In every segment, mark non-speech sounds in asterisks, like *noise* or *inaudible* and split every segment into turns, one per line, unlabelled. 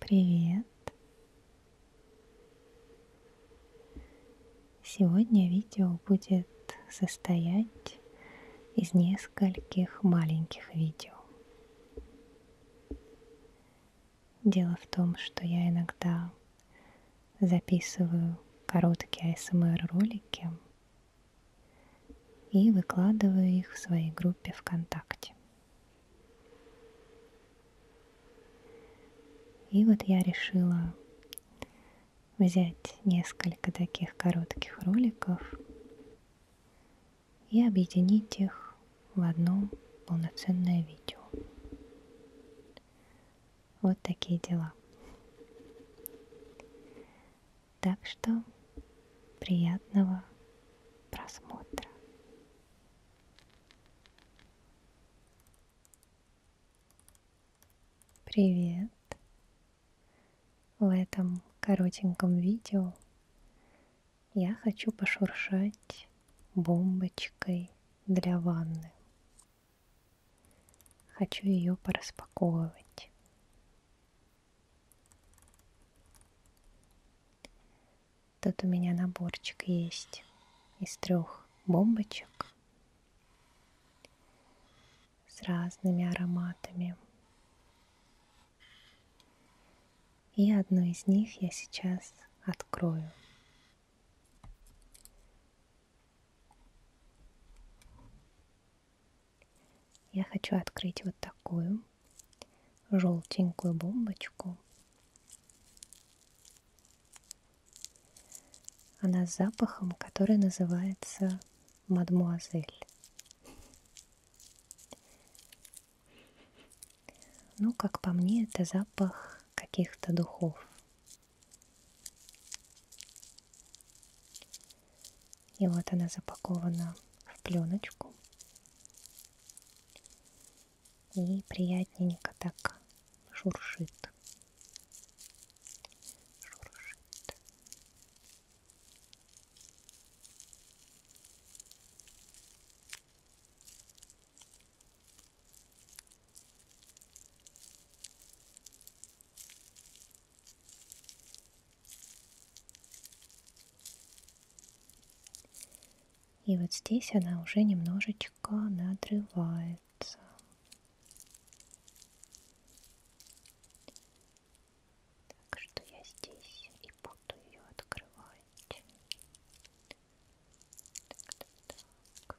Привет! Сегодня видео будет состоять из нескольких маленьких видео. Дело в том, что я иногда записываю короткие ASMR эм ролики и выкладываю их в своей группе ВКонтакте. И вот я решила взять несколько таких коротких роликов и объединить их в одно полноценное видео. Вот такие дела. Так что приятного просмотра. Привет! В этом коротеньком видео я хочу пошуршать бомбочкой для ванны. Хочу ее пораспаковывать. Тут у меня наборчик есть из трех бомбочек с разными ароматами. И одну из них я сейчас открою. Я хочу открыть вот такую желтенькую бомбочку. Она с запахом, который называется мадмуазель. Ну, как по мне, это запах каких-то духов. И вот она запакована в пленочку. И приятненько так шуршит. Шуршит. И вот здесь она уже немножечко надрывается. Так что я здесь и буду ее открывать. Так, так, так.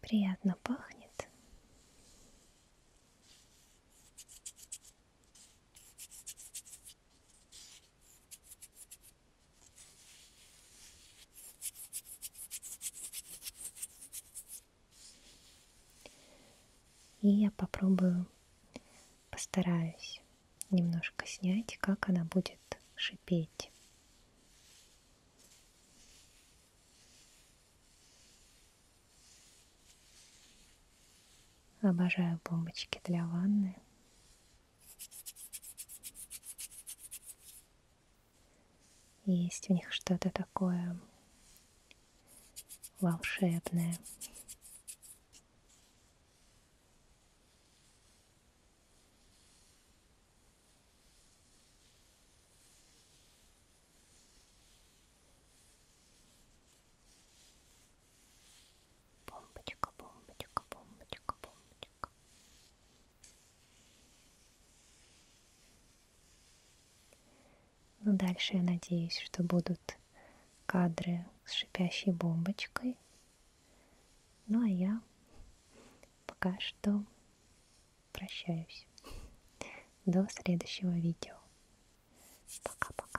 Приятно пахнет. И я попробую, постараюсь немножко снять, как она будет шипеть. Обожаю бомбочки для ванны. Есть у них что-то такое волшебное. Бомбочка, бомбочка, бомбочка, бомбочка. Ну, дальше я надеюсь, что будут кадры с шипящей бомбочкой. Ну а я пока что прощаюсь. До следующего видео. Пока-пока-пока.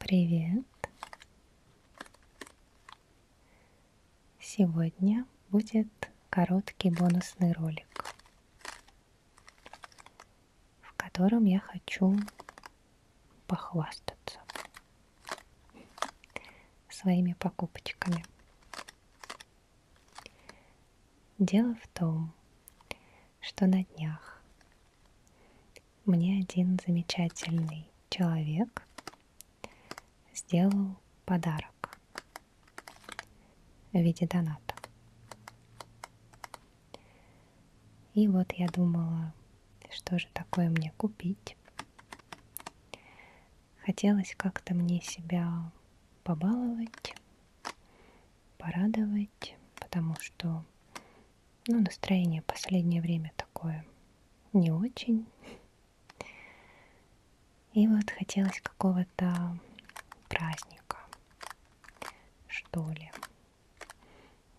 Привет! Сегодня будет короткий бонусный ролик в котором я хочу похвастаться своими покупочками. Дело в том, что на днях мне один замечательный человек сделал подарок в виде доната. И вот я думала, что же такое мне купить. Хотелось как-то мне себя побаловать, порадовать, потому что ну, настроение последнее время такое не очень. И вот хотелось какого-то праздника, что ли.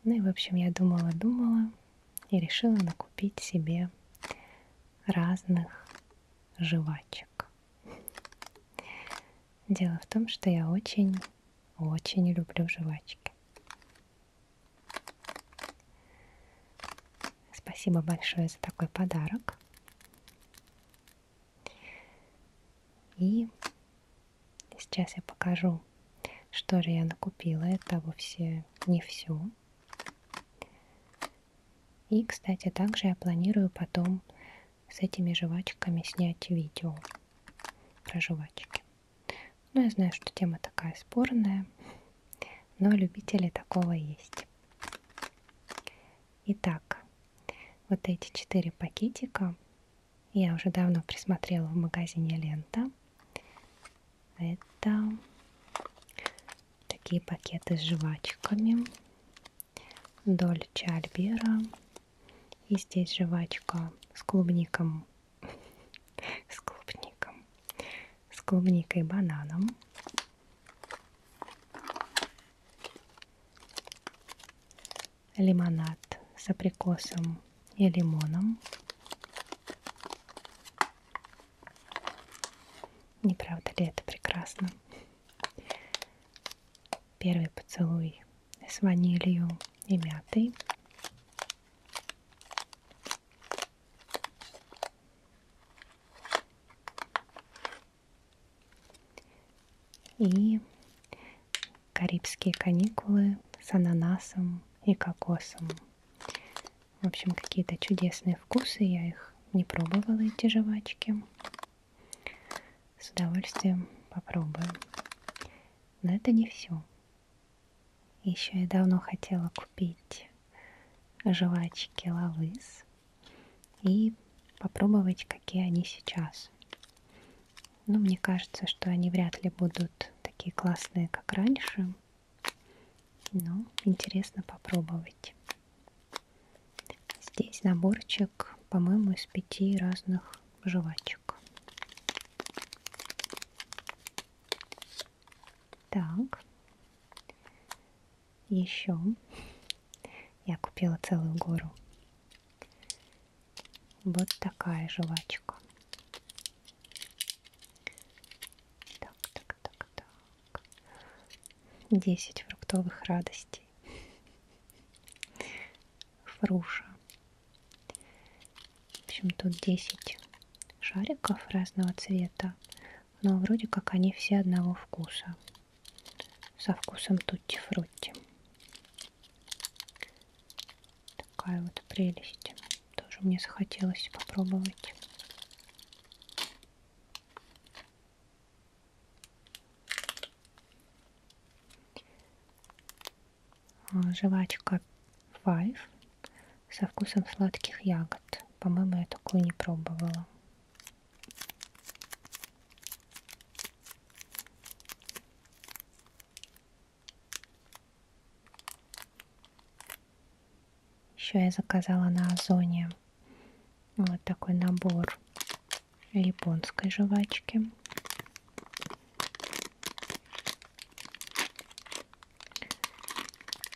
Ну и, в общем, я думала-думала и решила накупить себе разных жвачек. Дело в том, что я очень-очень люблю жвачки. Спасибо большое за такой подарок. И сейчас я покажу, что же я накупила. Это вовсе не все. И, кстати, также я планирую потом с этими жвачками снять видео про жвачки. Ну, я знаю, что тема такая спорная, но любители такого есть. Итак, вот эти четыре пакетика я уже давно присмотрела в магазине лента. Это такие пакеты с жвачками. Дольче Альбера. И здесь жвачка с клубником. *laughs* С клубником. С клубникой и бананом лимонад с абрикосом и лимоном. Не правда ли это прекрасно? Первый поцелуй с ванилью и мятой. И карибские каникулы с ананасом и кокосом. В общем, какие-то чудесные вкусы, я их не пробовала, эти жвачки. С удовольствием попробую. Но это не все. Еще я давно хотела купить жвачки Лавыс и попробовать, какие они сейчас. Но ну, мне кажется, что они вряд ли будут такие классные, как раньше. Но интересно попробовать. Здесь наборчик, по-моему, из пяти разных жвачек. Так. Еще я купила целую гору вот такая жвачка. Так, так, так, так. Десять фруктовых радостей. Фруша. В общем, тут 10 шариков разного цвета, но вроде как они все одного вкуса. Со вкусом тутти-фрутти. Такая вот прелесть. Тоже мне захотелось попробовать. А, жвачка Five со вкусом сладких ягод. По-моему, я такую не пробовала. Еще я заказала на Озоне вот такой набор японской жвачки.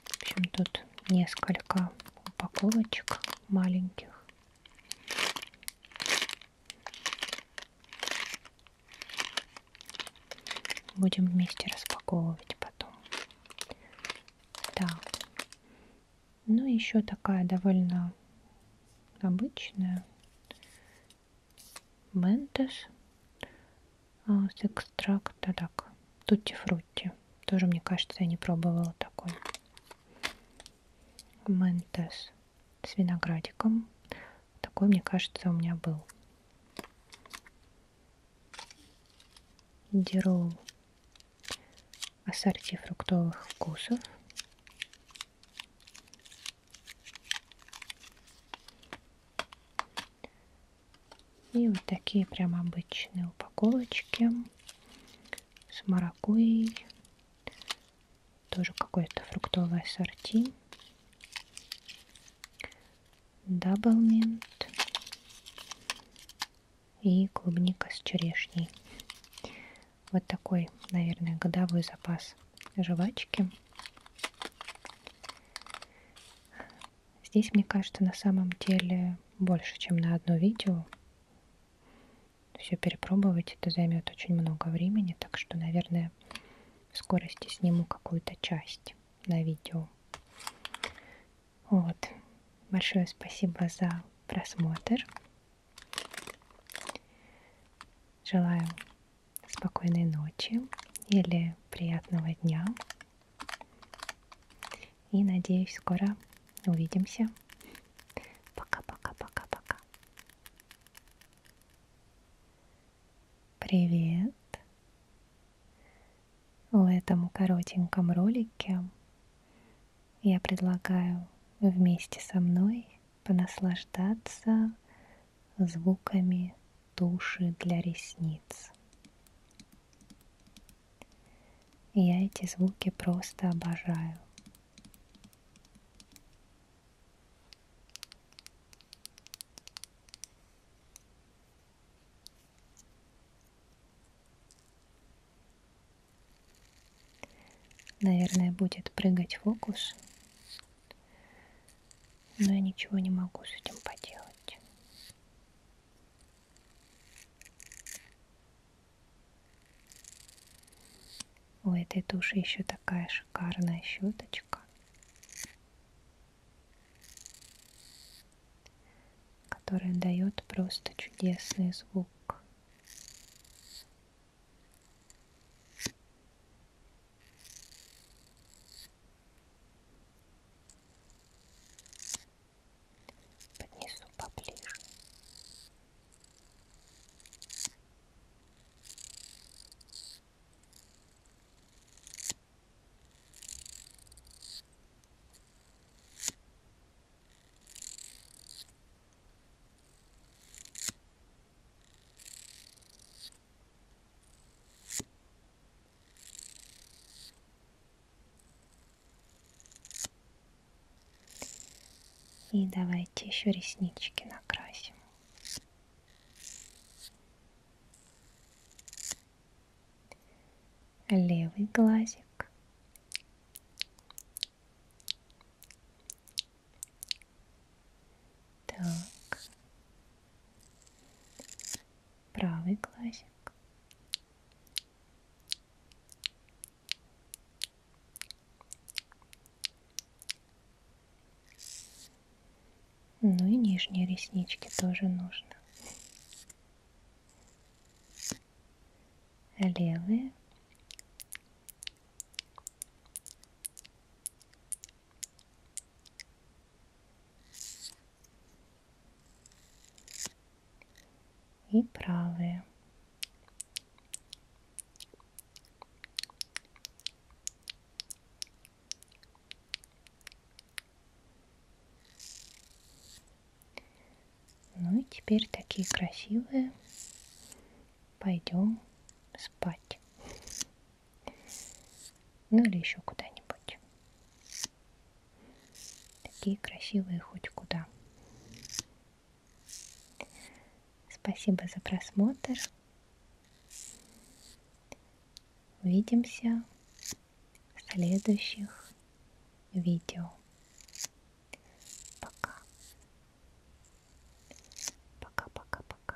В общем, тут несколько упаковочек маленьких. Будем вместе распаковывать потом. Так. Ну, еще такая довольно обычная. Ментес а, с экстракта. Так, тутти фрутти. Тоже, мне кажется, я не пробовала такой. Ментес с виноградиком. Такой, мне кажется, у меня был. Дирол ассорти фруктовых вкусов. И вот такие прям обычные упаковочки с маракуйей, тоже какое-то фруктовое сорти. Даблмент. И клубника с черешней. Вот такой, наверное, годовой запас жвачки. Здесь, мне кажется, на самом деле больше, чем на одно видео. Все перепробовать это займет очень много времени, так что, наверное, высокая. В скорости сниму какую-то часть на видео. Вот. Большое спасибо за просмотр. Желаю спокойной ночи или приятного дня. И надеюсь, скоро увидимся. Пока-пока-пока-пока. Привет! В этом коротеньком ролике я предлагаю вместе со мной понаслаждаться звуками туши для ресниц. Я эти звуки просто обожаю. Наверное, будет прыгать фокус. Но я ничего не могу с этим поделать. У этой туши еще такая же шикарная щеточка, которая дает просто чудесный звук. Поднесу поближе. И давайте еще реснички накрасим левый глазик, так, правый глазик. Ну и нижние реснички тоже нужно. Левые. И правые. Ну и теперь такие красивые. Пойдем спать. Ну или еще куда-нибудь. Такие красивые хоть куда. Спасибо за просмотр. Увидимся в следующих видео. Пока. Пока-пока-пока.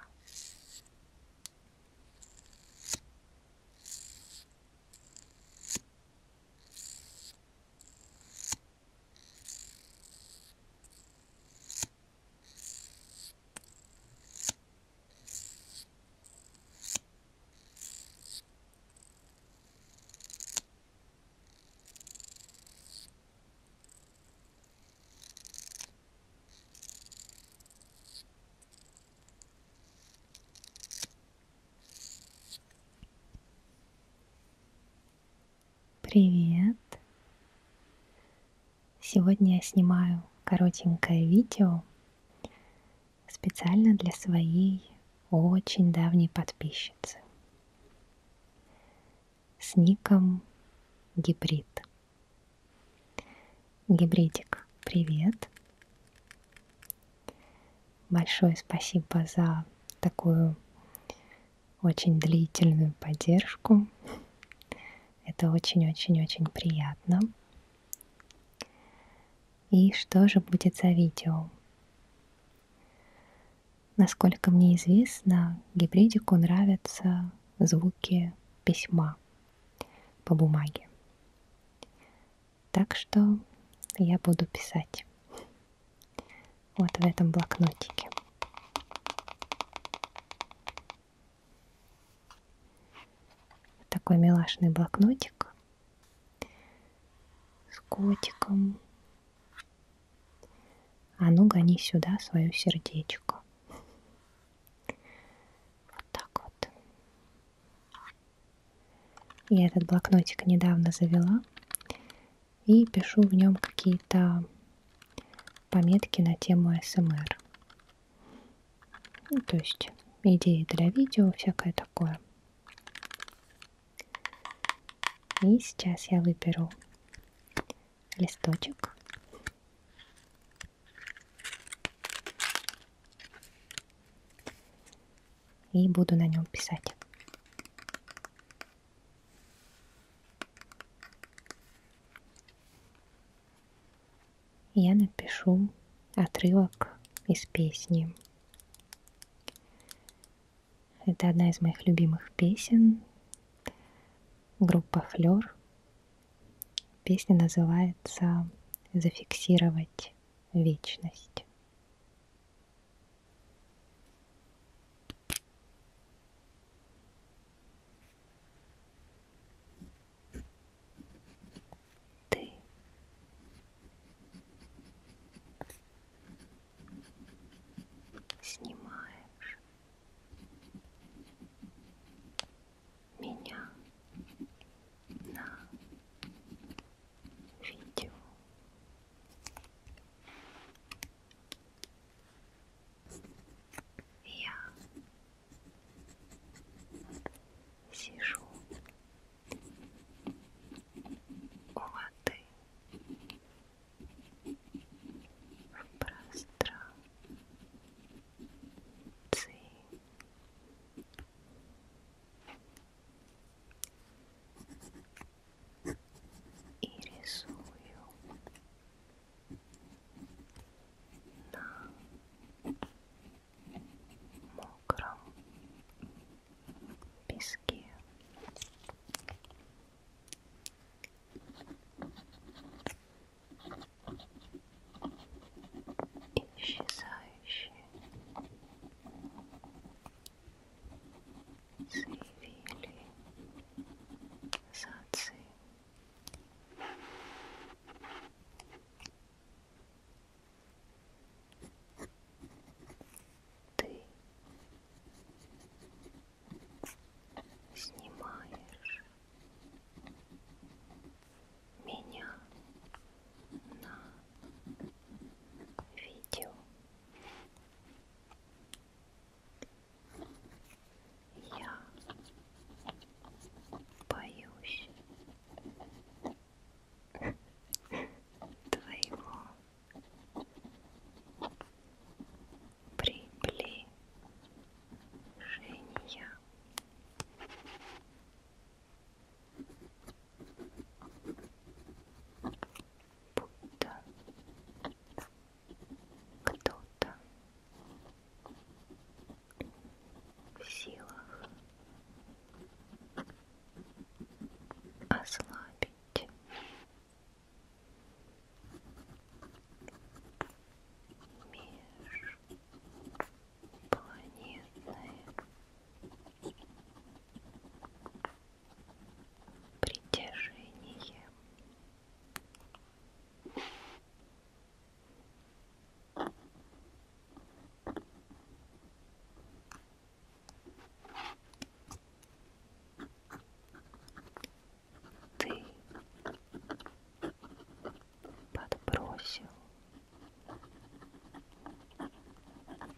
Привет. Сегодня я снимаю коротенькое видео специально для своей очень давней подписчицы с ником Гибрид. Гибридик, привет! Большое спасибо за такую очень длительную поддержку. Это очень-очень-очень приятно. И что же будет за видео? Насколько мне известно, гибридику нравятся звуки письма по бумаге. Так что я буду писать вот в этом блокнотике. Такой милашный блокнотик с котиком. А ну гони сюда свое сердечко. Вот так вот. Я этот блокнотик недавно завела и пишу в нем какие-то пометки на тему СМР. Ну, то есть идеи для видео, всякое такое. И сейчас я выберу листочек. И буду на нем писать я напишу отрывок из песни. Это одна из моих любимых песен. Группа Флер. Песня называется «Зафиксировать вечность» ты снимаешь меня на видео. Я сижу у воды в пространстве и рисую на мокром песке. Исчезающие заявили зацепки. Ты снимаешь меня на видео. Я боюсь твоего приближения. Будто кто-то в силах ослабить межпланетное притяжение ты подбросил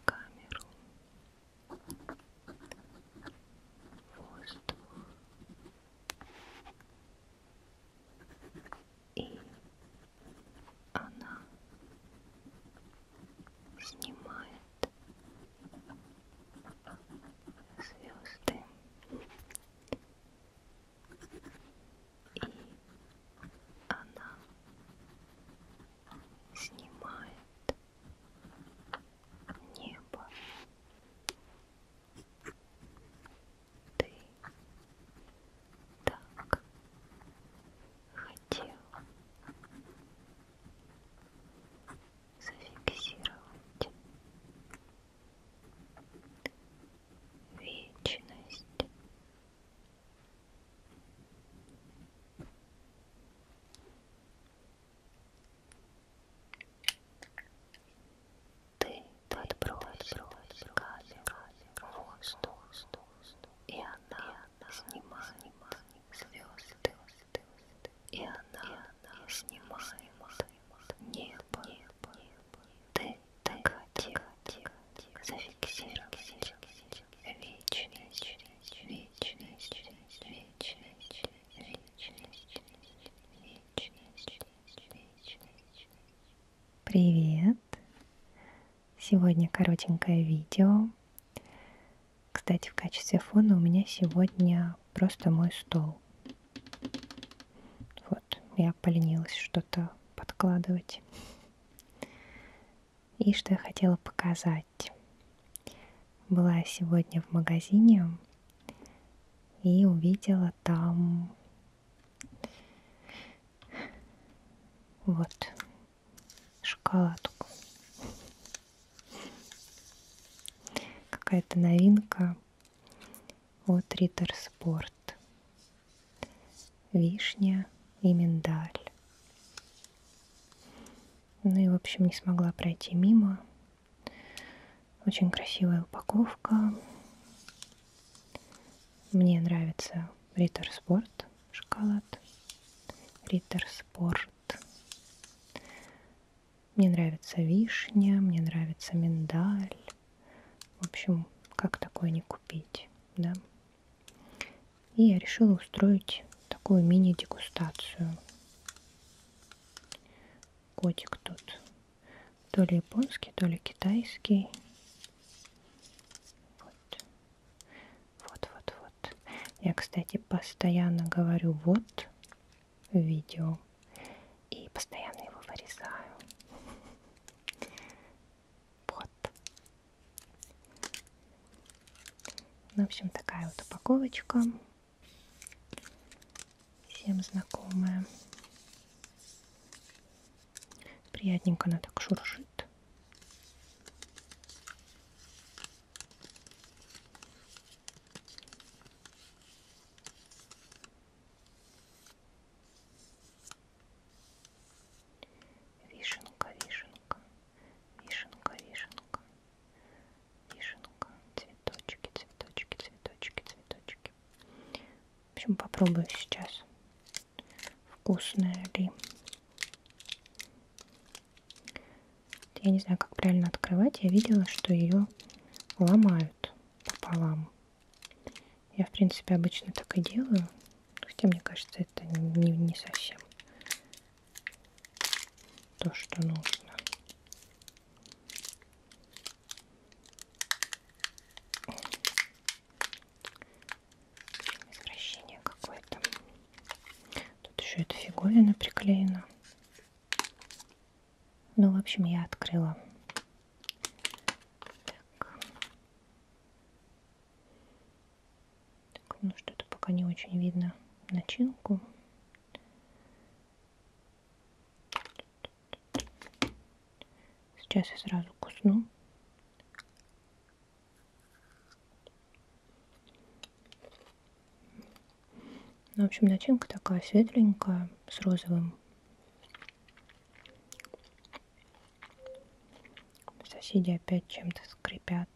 камеру воздух и она снимает звезды и она снимает небо ты так хотел зафиксировать вечность. Ты подбрось камень в воздух, и она снимает звезды, и она снимает небо. Ты котик, зафиксируй вечность, вечность, вечность, вечность, вечность, вечность. Привет! Сегодня коротенькое видео. Кстати, в качестве фона у меня сегодня просто мой стол. Вот, я поленилась что-то подкладывать. И что я хотела показать. Была сегодня в магазине и увидела там вот. Шоколадку. Какая-то новинка от Риттер Спорт. Вишня и миндаль. Ну и, в общем, не смогла пройти мимо. Очень красивая упаковка. Мне нравится Риттер Спорт шоколад. Риттер Спорт. Мне нравится вишня, мне нравится миндаль. В общем, как такое не купить, да? И я решила устроить такую мини-дегустацию. Котик тут то ли японский, то ли китайский. Вот. Вот, вот, вот. Я, кстати, постоянно говорю вот в видео. И постоянно его вырезаю. Вот. Ну, в общем, такая вот упаковочка всем знакомая. Приятненько она так шуршит. Вишенка, вишенка, вишенка, вишенка, вишенка, цветочки, цветочки, цветочки, цветочки, в общем, попробую сейчас, вкусная ли. Я не знаю, как правильно открывать. Я видела, что ее ломают пополам. Я, в принципе, обычно так и делаю. Хотя, мне кажется, это не, не совсем то, что нужно. Извращение какое-то. Тут еще эта фиговина приклеена. Ну, в общем, я открыла. Так. так ну, что-то пока не очень видно начинку. Тут Сейчас я сразу кусну. Ну, в общем, начинка такая светленькая, с розовым. Соседи опять чем-то скрипят.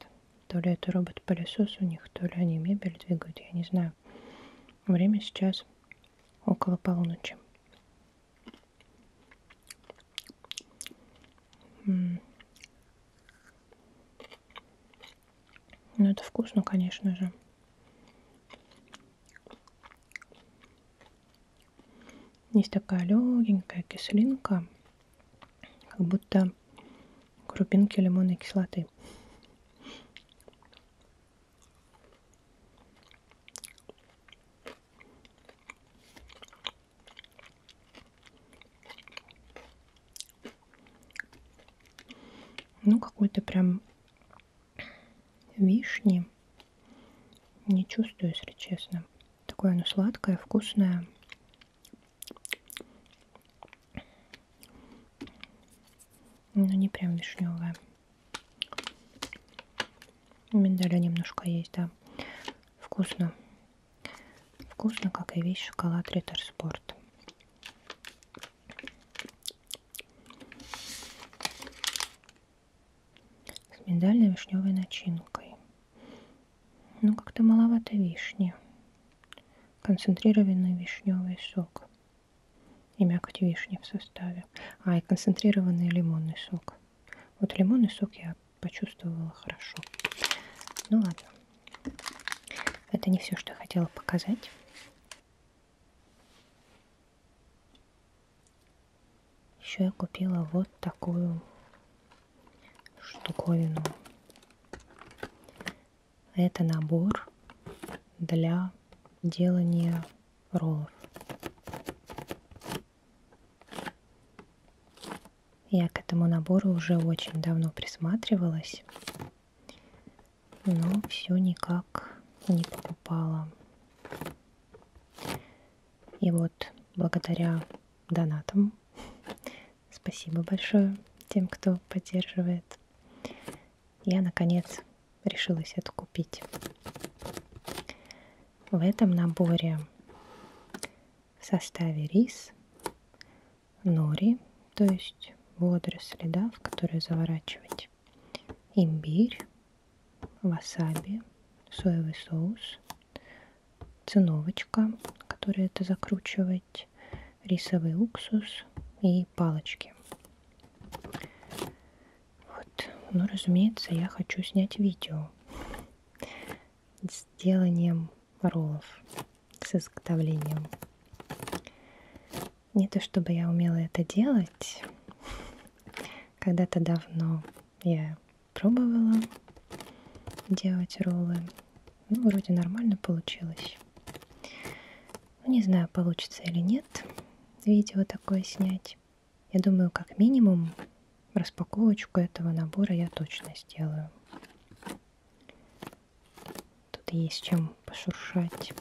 То ли это робот-пылесос у них, то ли они мебель двигают, я не знаю. Время сейчас около полуночи. Ну, это вкусно, конечно же. Есть такая легенькая кислинка, как будто крупинки лимонной кислоты. Ну, какой-то прям вишни не чувствую, если честно. Такое оно сладкое, вкусное. Но не прям вишневое. Миндаля немножко есть, да. Вкусно. Вкусно, как и весь шоколад Риттер Спорт. С миндально-вишневой начинкой. Ну, как-то маловато вишни. Концентрированный вишневый сок и мякоть вишни в составе. А, и концентрированный лимонный сок. Вот лимонный сок я почувствовала хорошо. Ну ладно. Это не все, что я хотела показать. Еще я купила вот такую штуковину. Это набор для делания роллов. Я к этому набору уже очень давно присматривалась, но все никак не покупала. И вот благодаря донатам, *laughs* спасибо большое тем, кто поддерживает, я наконец решилась это купить. В этом наборе в составе рис, нори, то есть водоросли, да, в которые заворачивать, имбирь, васаби, соевый соус, циновочка, которой это закручивать, рисовый уксус и палочки. Вот. Ну, разумеется, я хочу снять видео с деланием роллов, с изготовлением. Не то чтобы я умела это делать. Когда-то давно я пробовала делать роллы. Ну, вроде нормально получилось. Ну, не знаю, получится или нет видео такое снять. Я думаю, как минимум распаковочку этого набора я точно сделаю. Тут есть чем пошуршать.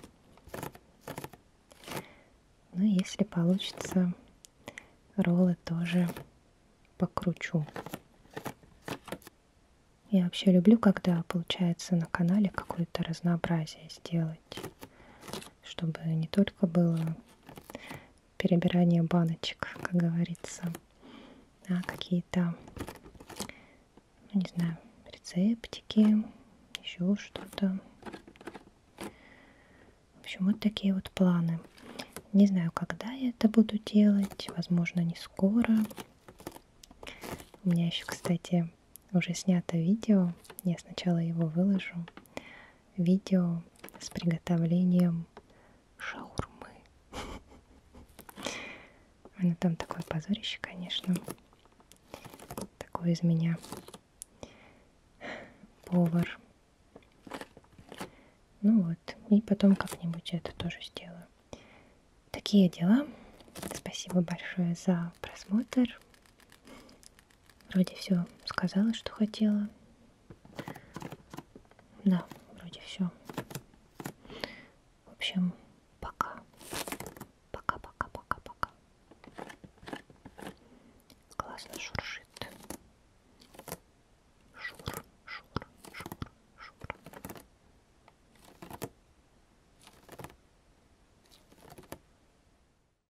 Ну, если получится, роллы тоже покручу. Я вообще люблю, когда получается на канале какое-то разнообразие сделать делать, чтобы не только было перебирание баночек, как говорится, а какие-то, ну, не знаю, рецептики, еще что-то. В общем, вот такие вот планы. Не знаю, когда я это буду делать, возможно, не скоро. У меня еще, кстати, уже снято видео. Я сначала его выложу, видео с приготовлением шаурмы. Ну там такое позорище, конечно. Такой из меня повар. Ну вот, и потом как-нибудь это тоже сделаю. Такие дела. Спасибо большое за просмотр. Вроде все сказала, что хотела. Да, вроде все. В общем, пока. Пока-пока-пока-пока. Классно шуршит. Шур, шур, шур, шур.